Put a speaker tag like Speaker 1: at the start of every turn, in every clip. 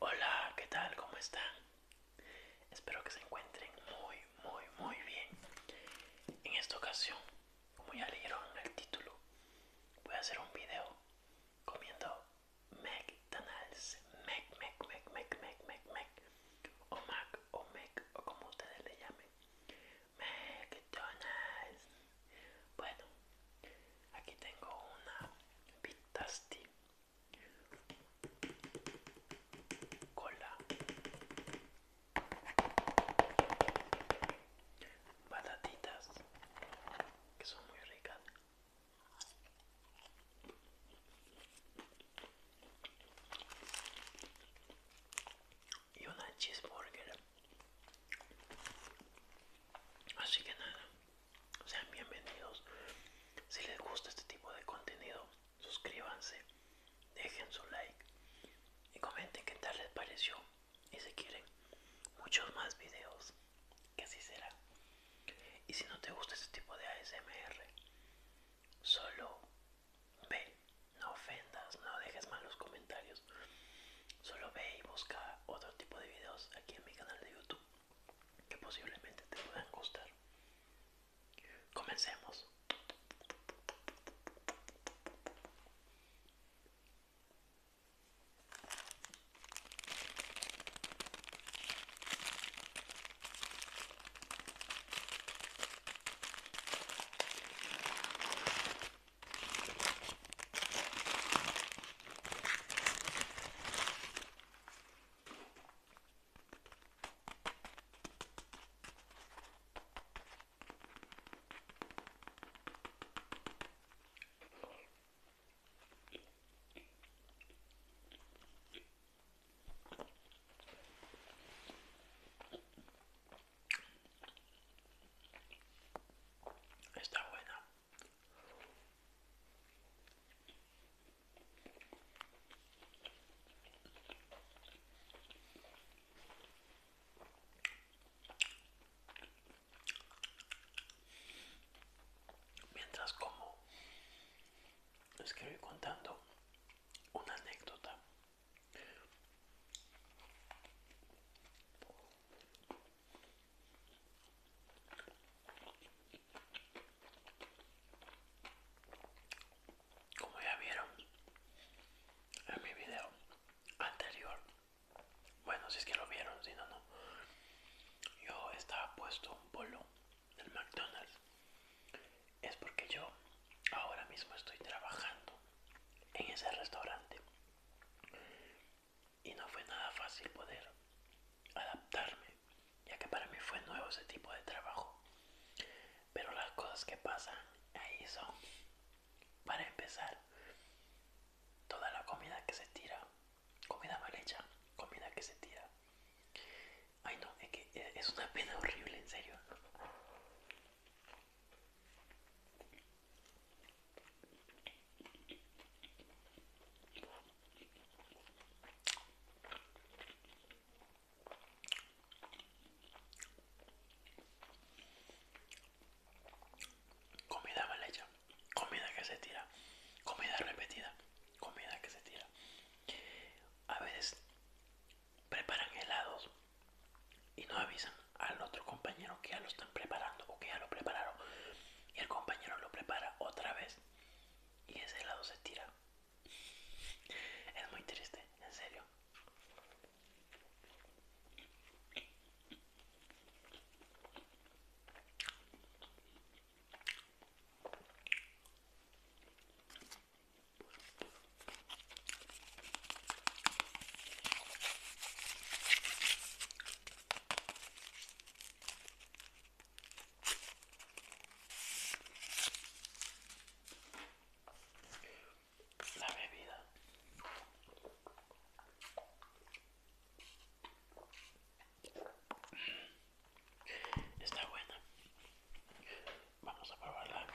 Speaker 1: Hola, ¿qué tal? ¿Cómo están? Espero que se encuentren muy, muy, muy bien. En esta ocasión, como ya leyeron el título, voy a hacer un video comiendo McDonald's. MEC MEC MEC MEC MEC MEC O Mac, o Mac, o como ustedes le llamen. McDonald's. Bueno, aquí tengo una Tasty Cola, patatitas que son muy ricas. Y una cheeseburger. Así que nada, sean bienvenidos. Si les gusta este tipo de contenido, suscríbanse, dejen su like y comenten qué tal les pareció. Y si quieren muchos más videos, que así será. Y si no te gusta este tipo de ASMR, solo ve, no ofendas, no dejes malos comentarios. Solo ve y busca otro tipo de videos aquí en mi canal de YouTube que posiblemente te puedan gustar. Comencemos. Está buena. Mientras como, les contando una anécdota. Como ya vieron en mi video anterior, bueno, si es que lo vieron, si no, no, yo estaba puesto un polo del McDonald's. Es porque yo ahora mismo estoy trabajando en ese restaurante y no fue nada fácil poder adaptarme, ya que para mí fue nuevo ese tipo de trabajo. Pero las cosas que pasan ahí son, para empezar, toda la comida que se tira, comida mal hecha, comida que se tira. Ay no, es que eh, es una pena horrible, en serio. Comida mal hecha, comida que se tira, comida repetida, comida que se tira. A veces preparan helados y no avisan al otro compañero que ya lo están preparando o que ya lo prepararon y el compañero lo prepara otra vez y ese lado se tira. Es muy triste, en serio. La bebida. Está buena. Vamos a probar la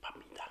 Speaker 1: papita.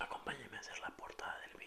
Speaker 1: Acompáñeme a hacer la portada del video.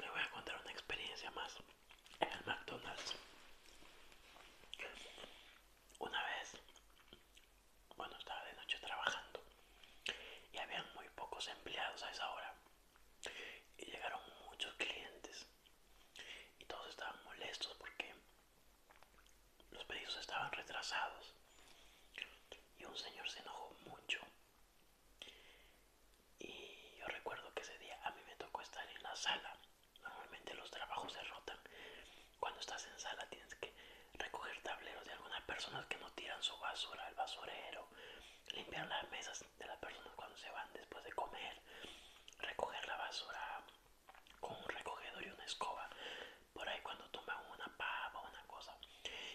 Speaker 1: me voy a contar una experiencia más en el McDonald's. Una vez, bueno, estaba de noche trabajando y habían muy pocos empleados a esa hora. Y llegaron muchos clientes y todos estaban molestos porque los pedidos estaban retrasados y un señor se enojó mucho. Y yo recuerdo que ese día a mí me tocó estar en la sala. Normalmente los trabajos se rotan. Cuando estás en sala tienes que recoger tableros de algunas personas que no tiran su basura al basurero, limpiar las mesas de las personas cuando se van después de comer, recoger la basura con un recogedor y una escoba por ahí cuando toman una papa o una cosa.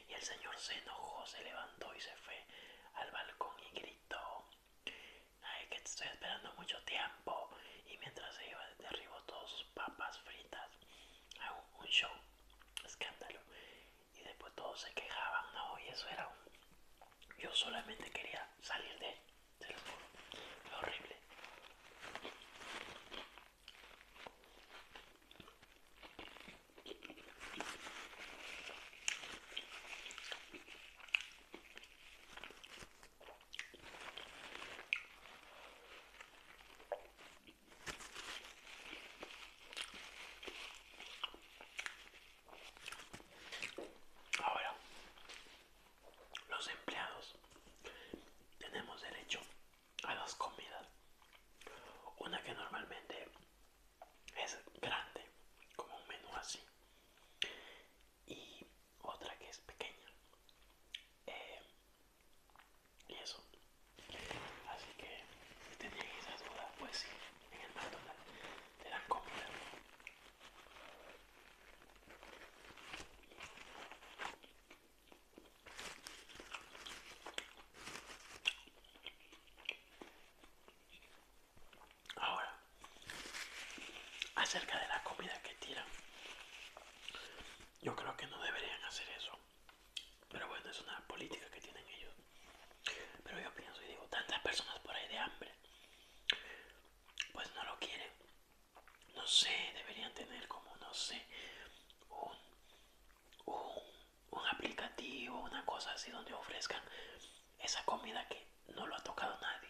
Speaker 1: Y el señor se enojó, se levantó y se fue al balcón y gritó, ay que estoy esperando mucho tiempo. Y mientras se iba, derribó todos sus papas fritas a un, show, escándalo. Y después todos se quejaban, no, y eso era un... Yo solamente quería salir de se los juro, horrible. Ahora los empleados tenemos derecho a dos comidas. Una que normalmente es grande, como un menú así. Y otra que es pequeña. Eh, y eso. Así que si tenían esas dudas, pues sí, en el McDonald's te dan comida. Ahora, acerca de la comida que tiran, yo creo que no deberían hacer eso. Pero bueno, es una política que tienen ellos. Pero yo pienso y digo, tantas personas por ahí de hambre, pues no lo quieren no sé, deberían tener como, no sé, un, un, un aplicativo, una cosa así donde ofrezcan esa comida que no lo ha tocado nadie,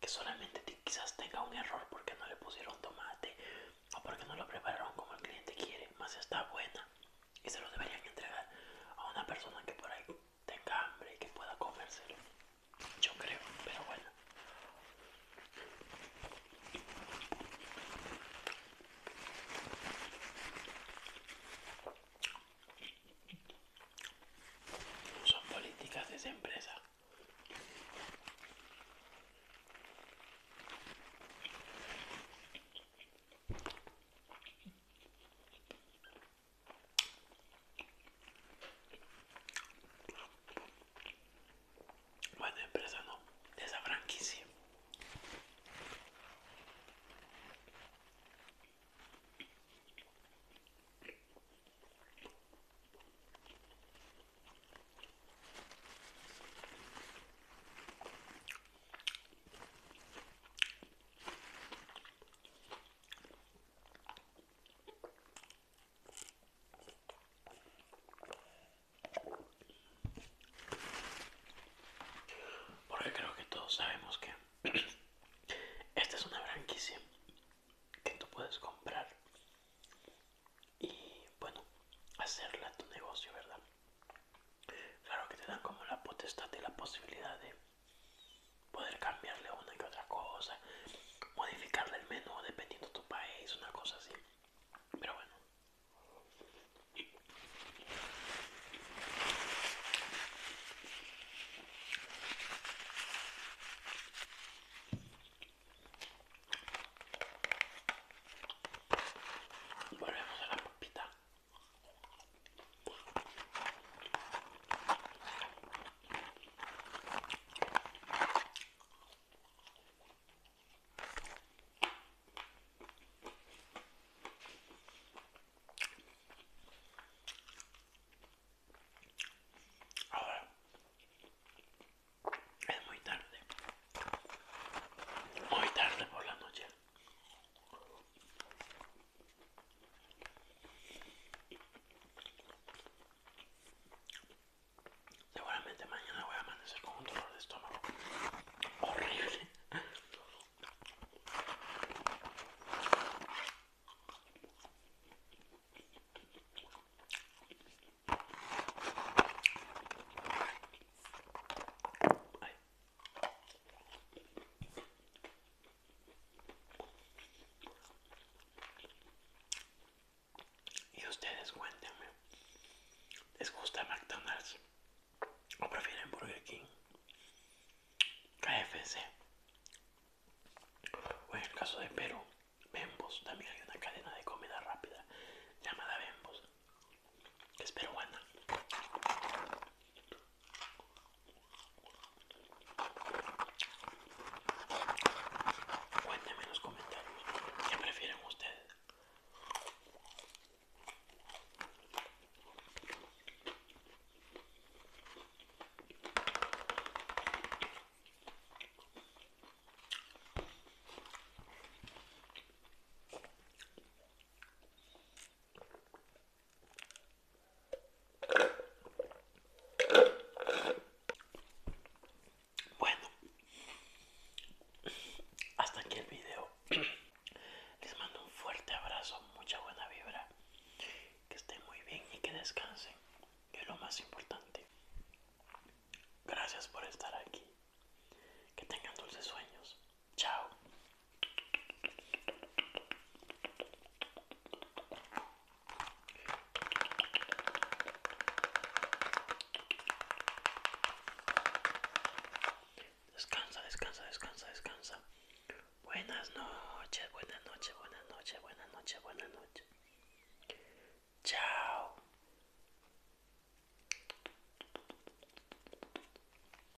Speaker 1: que solamente quizás tenga un error porque no le pusieron tomate o porque no lo prepararon como el cliente quiere, más está buena y se lo deberían entregar a una persona que por ahí tenga hambre y que pueda comérselo. Yo creo, pero bueno. Son políticas de esa empresa. Bueno, empresa, ¿no? esa franquicia. Porque creo que todos sabemos que esta es una franquicia que tú puedes comprar y bueno, hacerla tu negocio, ¿verdad? Claro que te dan como la potestad y la posibilidad de poder cambiarle una que otra cosa, modificarle el menú dependiendo de tu país, una cosa así. Pero bueno. Volvemos a la pupita Ahora es muy tarde, muy tarde por la noche. Seguramente mañana voy a amanecer con un dolor de estómago horrible. Y ustedes cuéntenme, ¿les gusta McDonald's? ¿O prefieren Burger King? KFC. O en el caso de Perú, Bembos. También hay una cadena de comida rápida llamada Bembos, que es peruana. Cuéntenme en los comentarios qué prefieren ustedes. Bueno, hasta aquí el video. Les mando un fuerte abrazo, mucha buena vibra. Que estén muy bien y que descansen, que es lo más importante. Gracias por estar aquí. Que tengan dulces sueños. Chao. Descansa, descansa, descansa, descansa. Buenas noches, buenas noches, buenas noches, buenas noches, buenas noches. Chao.